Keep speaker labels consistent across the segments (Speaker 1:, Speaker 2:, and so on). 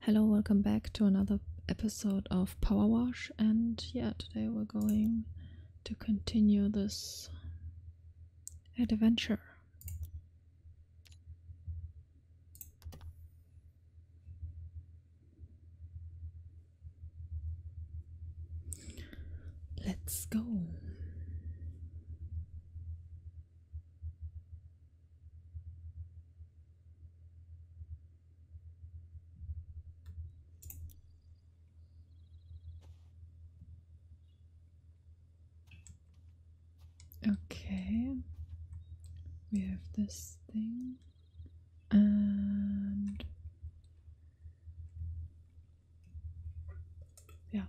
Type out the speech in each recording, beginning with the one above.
Speaker 1: Hello, welcome back to another episode of Power Wash. And yeah, today we're going to continue this adventure. Let's go. Okay, we have this thing and yeah,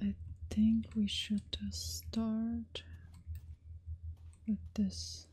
Speaker 1: I think we should start with this.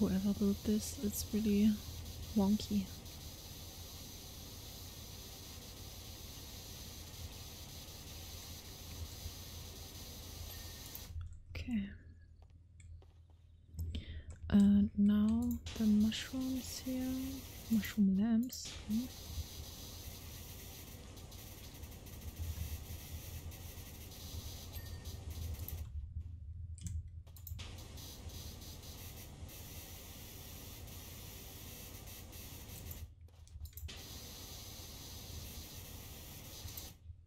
Speaker 1: Whoever built this, it's really wonky. Okay. And uh, now the mushrooms here, mushroom lamps.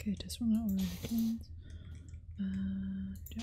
Speaker 1: Okay, just one that already cleans. And yeah.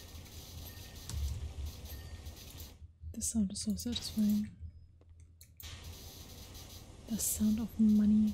Speaker 1: The sound is so satisfying. The sound of money.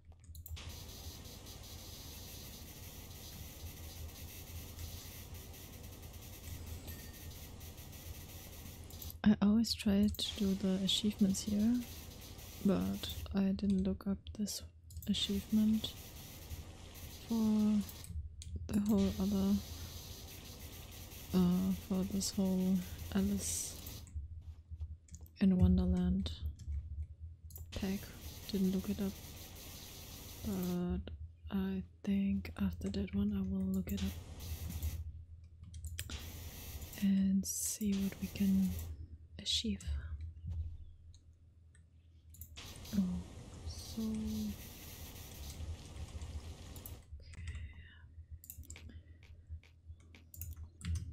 Speaker 1: I always try to do the achievements here, but I didn't look up this achievement for the whole other, uh, for this whole Alice and Wonderland tag. Didn't look it up, but I think after that one I will look it up and see what we can achieve. Oh, so.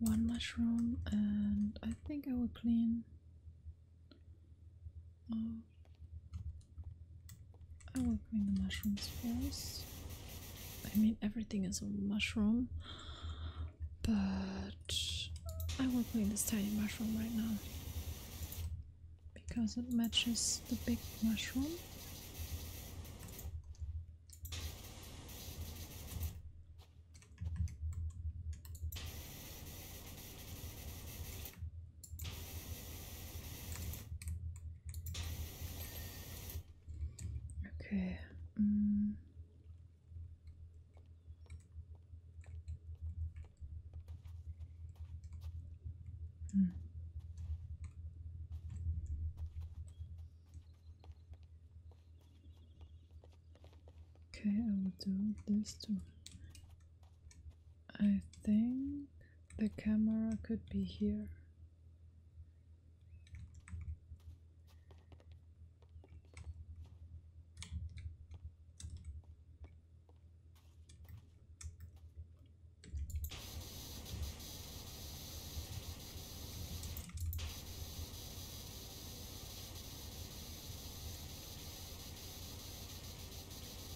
Speaker 1: one mushroom and I think I will clean oh. I will to the mushrooms first. I mean, everything is a mushroom, but I will play this tiny mushroom right now because it matches the big mushroom. Okay. Mm. Mm. Okay, I will do this too. I think the camera could be here.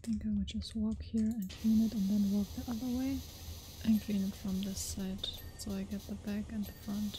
Speaker 1: I think I would just walk here and clean it and then walk the other way and clean it from this side so I get the back and the front.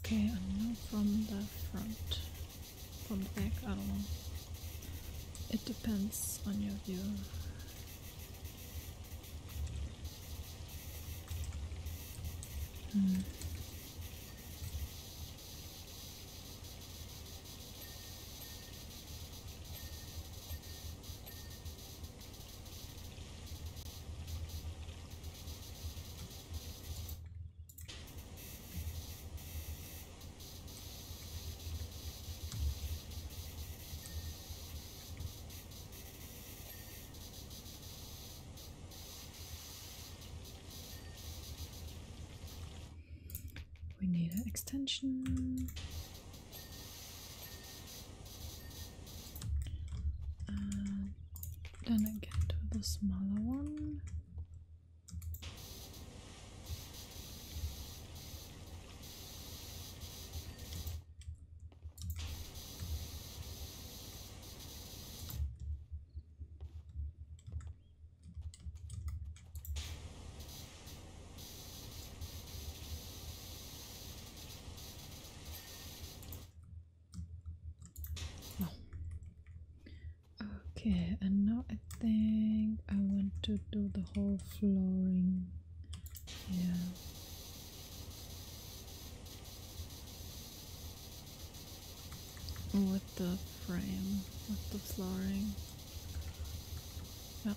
Speaker 1: Okay, I know from the front. From the back, I don't know. It depends on your view. Hmm. We need an extension. Uh, then I get to the smaller one. Okay, and now I think I want to do the whole flooring. Yeah. With the frame, with the flooring. Yep.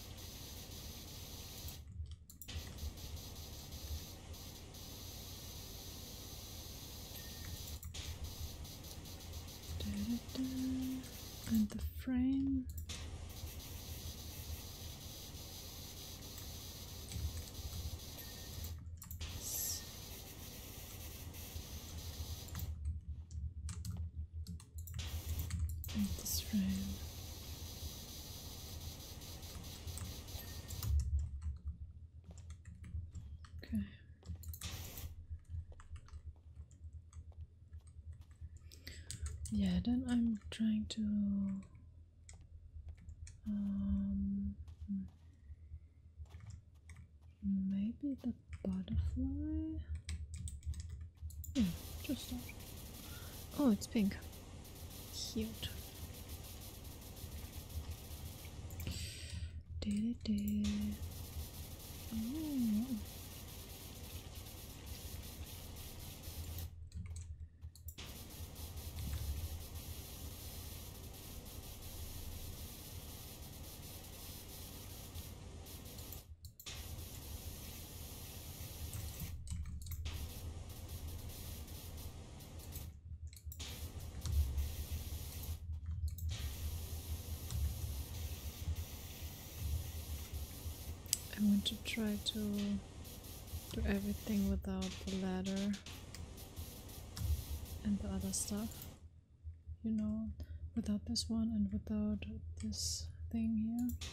Speaker 1: and the frame in this room. Okay. Yeah, then I'm trying to um, maybe the butterfly just not. Oh, it's pink. Cute. Do do do. I want to try to do everything without the ladder and the other stuff you know without this one and without this thing here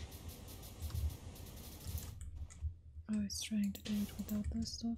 Speaker 1: I was trying to do it without this stuff.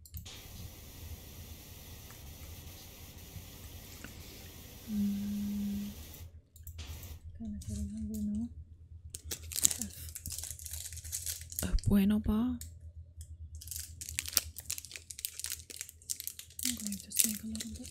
Speaker 1: 음, bueno. Es bueno, pa. I'm going to sink a little bit.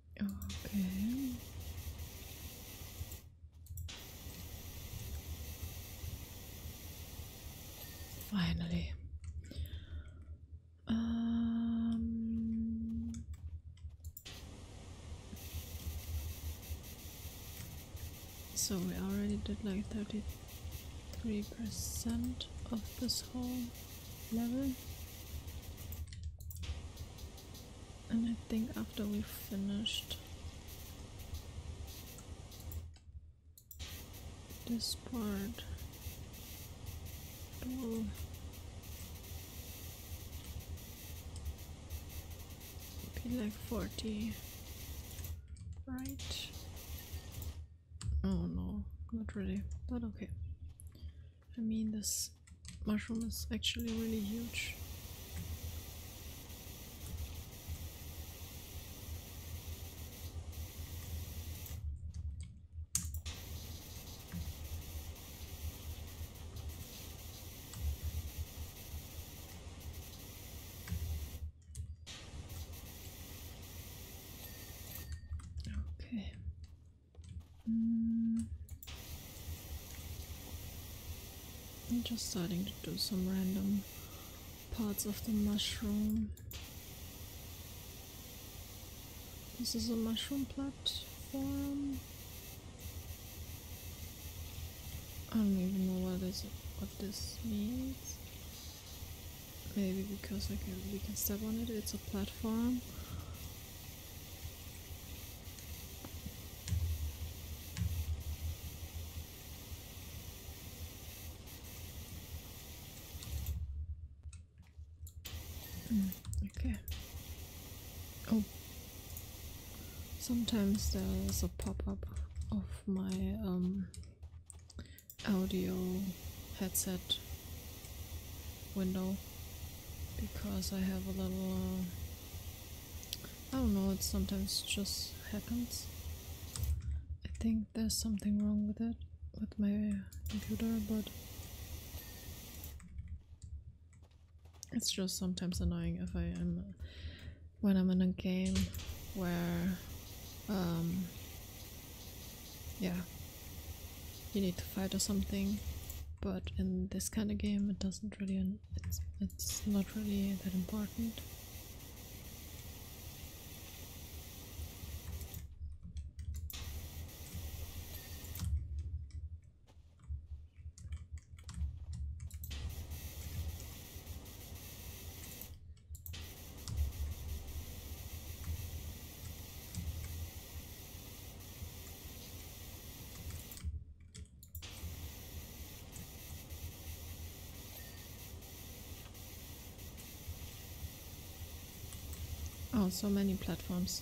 Speaker 1: Okay. Finally. Um, so we already did like 33% of this whole level. And I think after we've finished this part, it will be like 40, right? Oh no, not really, but okay. I mean, this mushroom is actually really huge. Okay. I'm just starting to do some random parts of the mushroom. This is a mushroom platform. I don't even know what this what this means. Maybe because I we can step on it. It's a platform. Mm, okay. Oh. Sometimes there's a pop-up of my um, audio headset window because I have a little, uh, I don't know, it sometimes just happens. I think there's something wrong with it, with my computer, but it's just sometimes annoying if I am, when I'm in a game where um, yeah, you need to fight or something. But in this kind of game, it doesn't really. It's it's not really that important. Oh, so many platforms.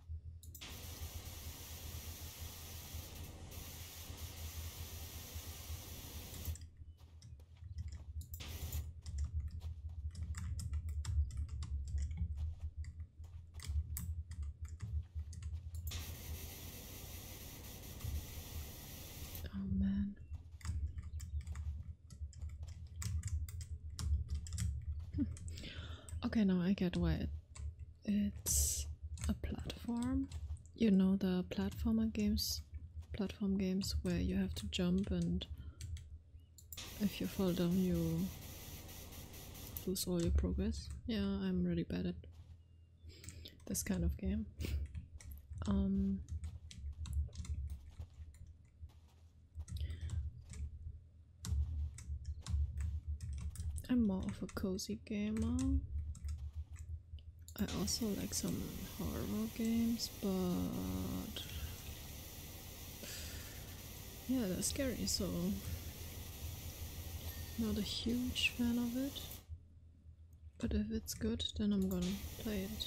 Speaker 1: Oh man. okay, now I get wet it's a platform. You know the platformer games, platform games where you have to jump and if you fall down you lose all your progress. Yeah, I'm really bad at this kind of game. Um, I'm more of a cozy classic I also like some horror games, but yeah, they're scary, so not a huge fan of it. But if it's good, then I'm gonna play it.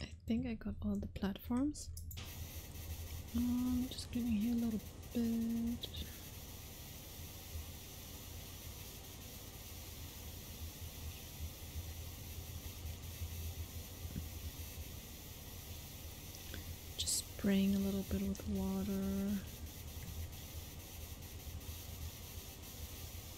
Speaker 1: I think I got all the platforms. I'm um, just cleaning here a little bit. Just spraying a little bit with water.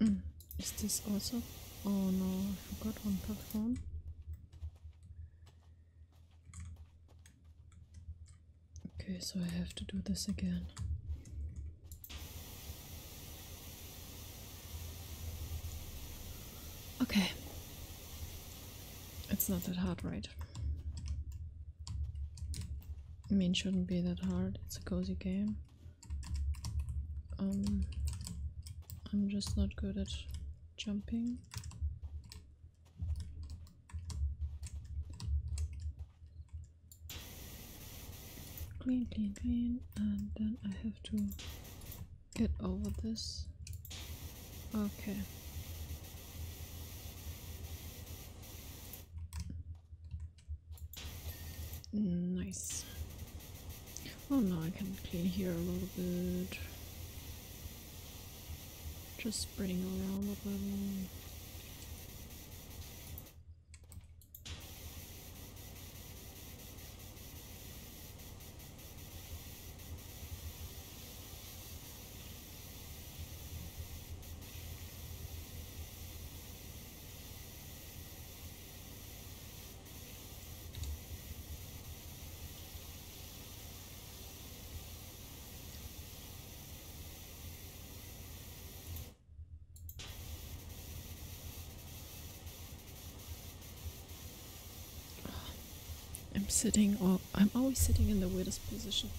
Speaker 1: Mm. Is this also? Oh no, I forgot on platform. Okay, so I have to do this again. Okay. It's not that hard, right? I mean, shouldn't be that hard. It's a cozy game. Um, I'm just not good at jumping. Clean, clean, clean, and then I have to get over this. Okay. Nice. Oh no, I can clean here a little bit. Just spreading around a little. I'm sitting, all, I'm always sitting in the weirdest position.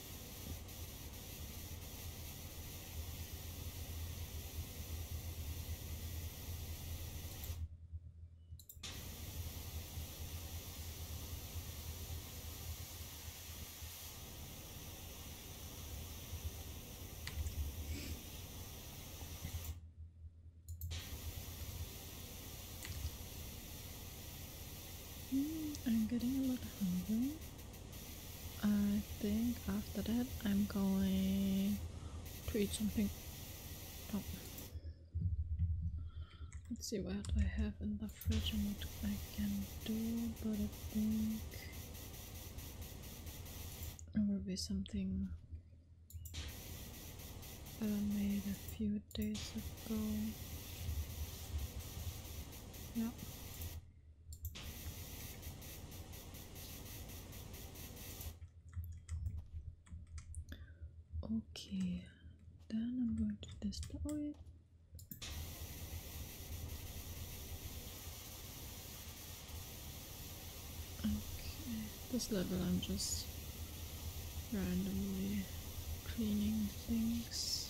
Speaker 1: Hmm, I'm getting a little hungry. I think after that I'm going to eat something. Oh. Let's see what I have in the fridge and what I can do, but I think it will be something that I made a few days ago. Yeah, Okay, then I'm going to destroy it. Okay, this level I'm just randomly cleaning things.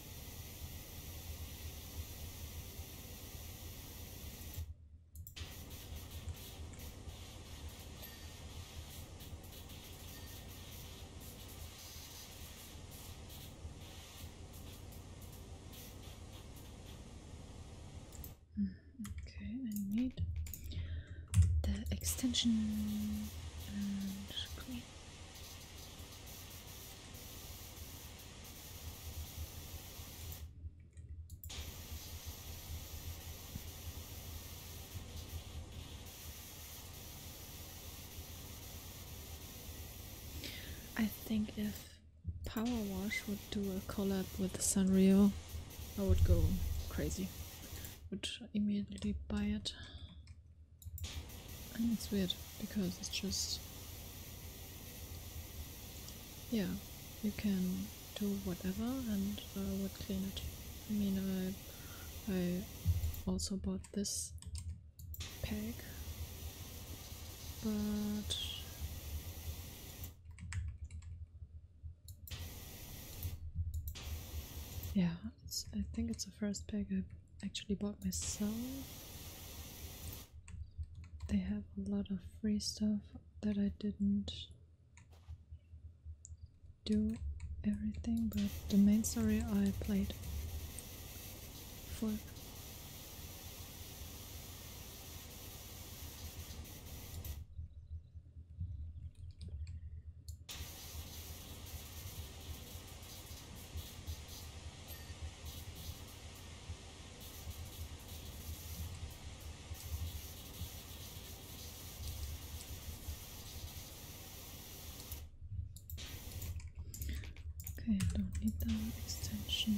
Speaker 1: Okay, I need the extension and I think if Power Wash would do a collab with Sanrio, I would go crazy. Would immediately buy it. And it's weird because it's just. Yeah, you can do whatever and I would clean it. I mean, I, I also bought this pack, but yeah, I think it's the first pack I actually bought myself. They have a lot of free stuff that I didn't do everything, but the main story I played for. Okay, I don't need that extension.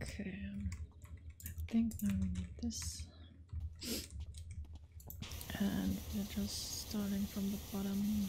Speaker 1: Okay, um, I think now we need this. And we're just starting from the bottom.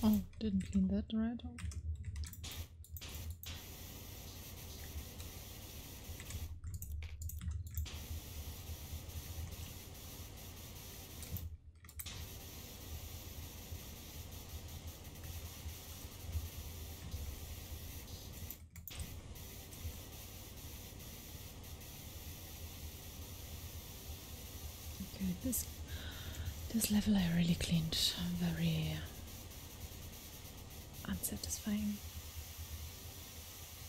Speaker 1: Oh, didn't clean that right. Okay, this this level I really cleaned. very unsatisfying.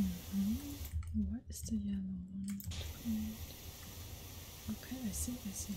Speaker 1: -hmm. What is the yellow one called? Okay, I see, I see.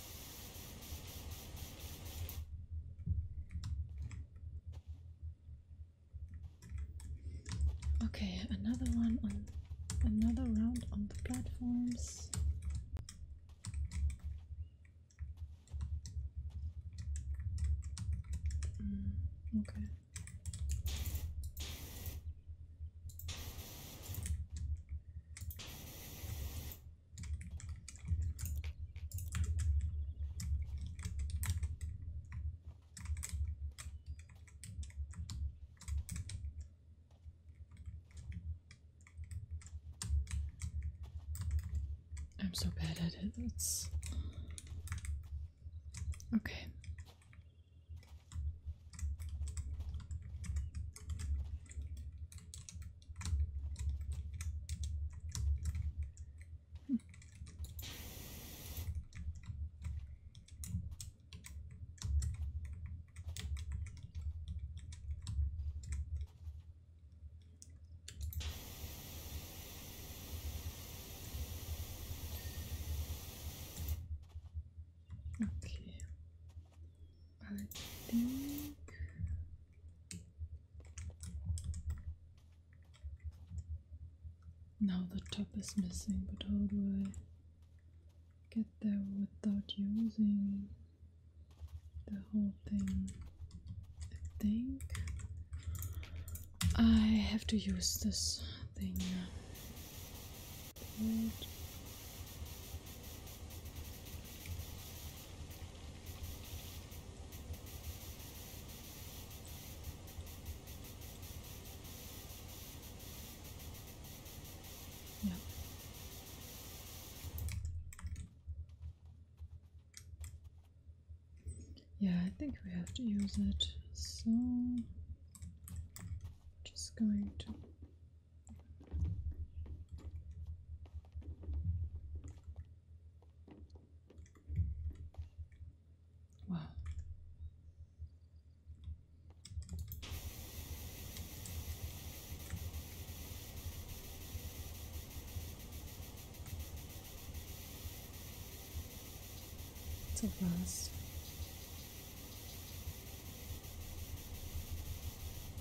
Speaker 1: Okay, another one on another round on the platforms. Mm, okay. I'm so bad at it. It's okay. Okay, I think now the top is missing, but how do I get there without using the whole thing? I think I have to use this thing. Yep. Yeah, I think we have to use it. So just going to Wow. It's a rust.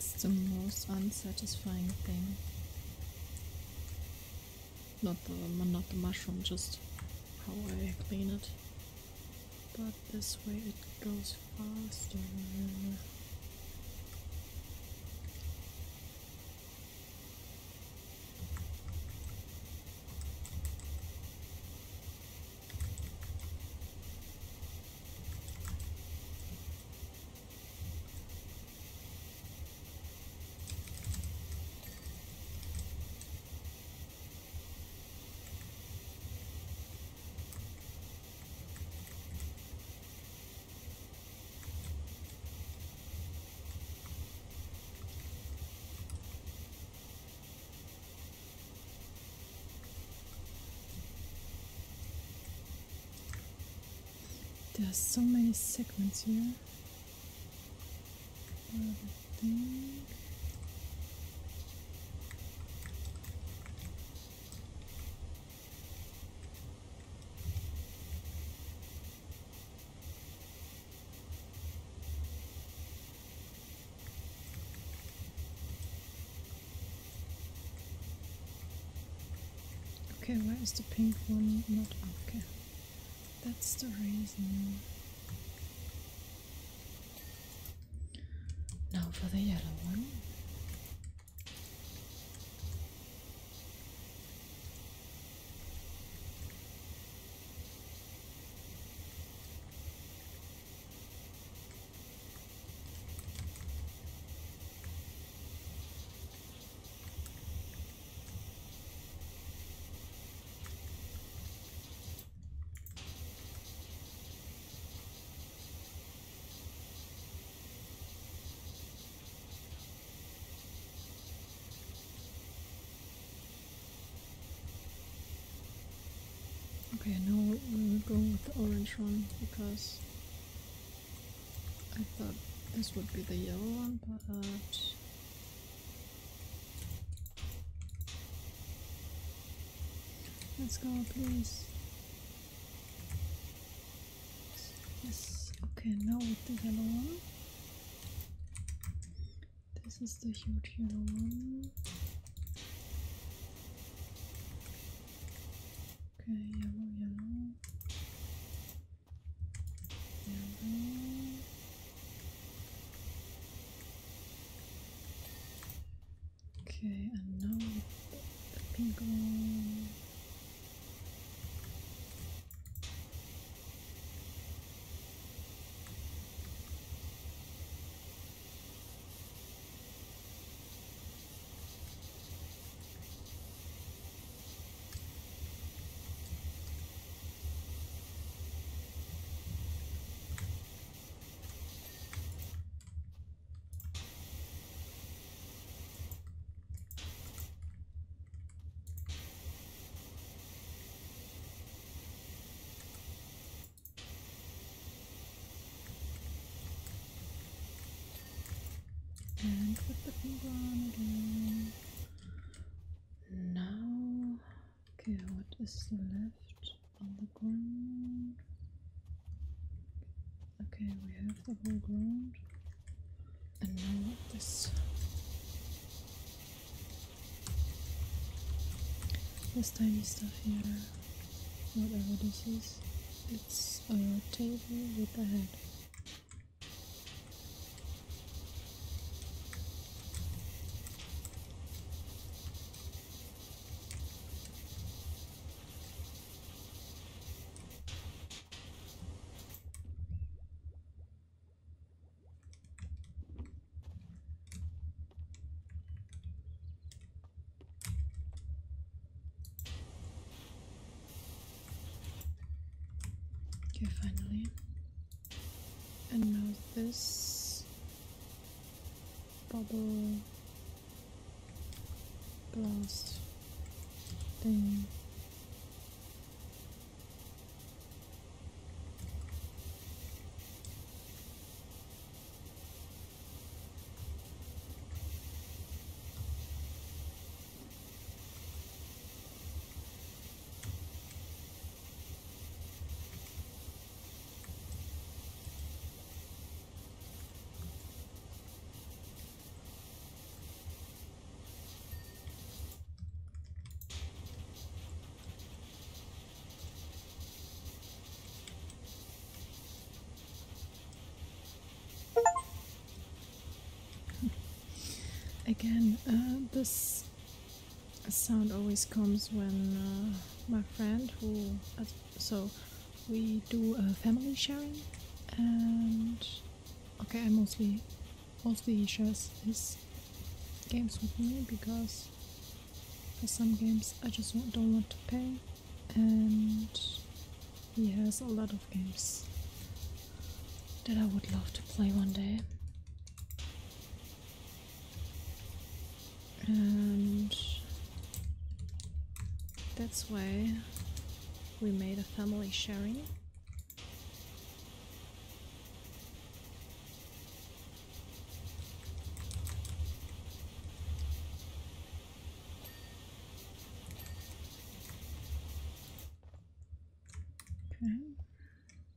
Speaker 1: It's the most unsatisfying thing not the not the mushroom, just how I clean it. But this way it goes faster. There are so many segments here another thing. Okay, where is the pink one? Not okay. That's the reason. Now for the yellow one. Okay, I know we are going with the orange one because I thought this would be the yellow one, but Let's go, please. Yes. Okay, now with the yellow one. This is the huge yellow one. Okay, yellow. Yellow. Okay, and now the pink one. And put the finger on again now okay what is left on the ground okay we have the whole ground and now this this tiny stuff here whatever this is it's a table with a head Okay, finally, and now this bubble blast thing. Again, uh, this a sound always comes when uh, my friend who uh, so we do a family sharing and okay I mostly mostly shares his games with me because for some games I just don't want to pay and he has a lot of games that I would love to play one day and that's why we made a family sharing. Okay.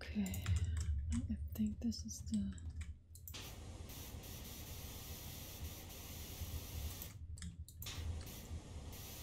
Speaker 1: Okay, I think this is the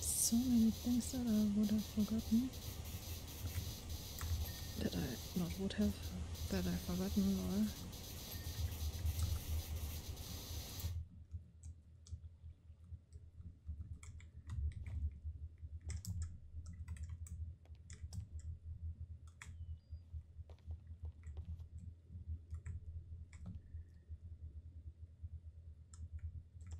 Speaker 1: so many things that I would have forgotten that I not would have that I've forgotten or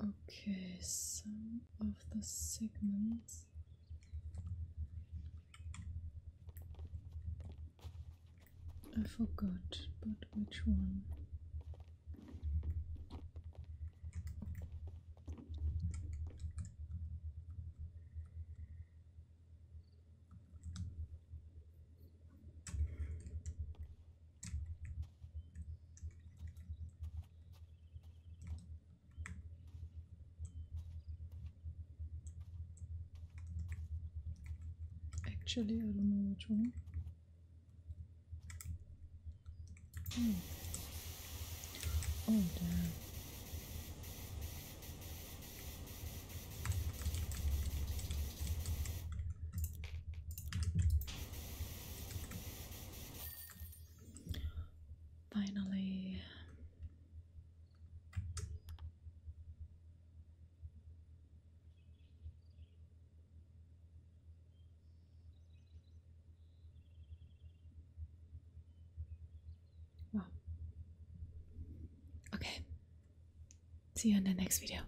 Speaker 1: Okay, some of the segments. I forgot, but which one? Actually, I don't know which one. Hmm. Oh, damn. Finally, wow. Okay, see you in the next video.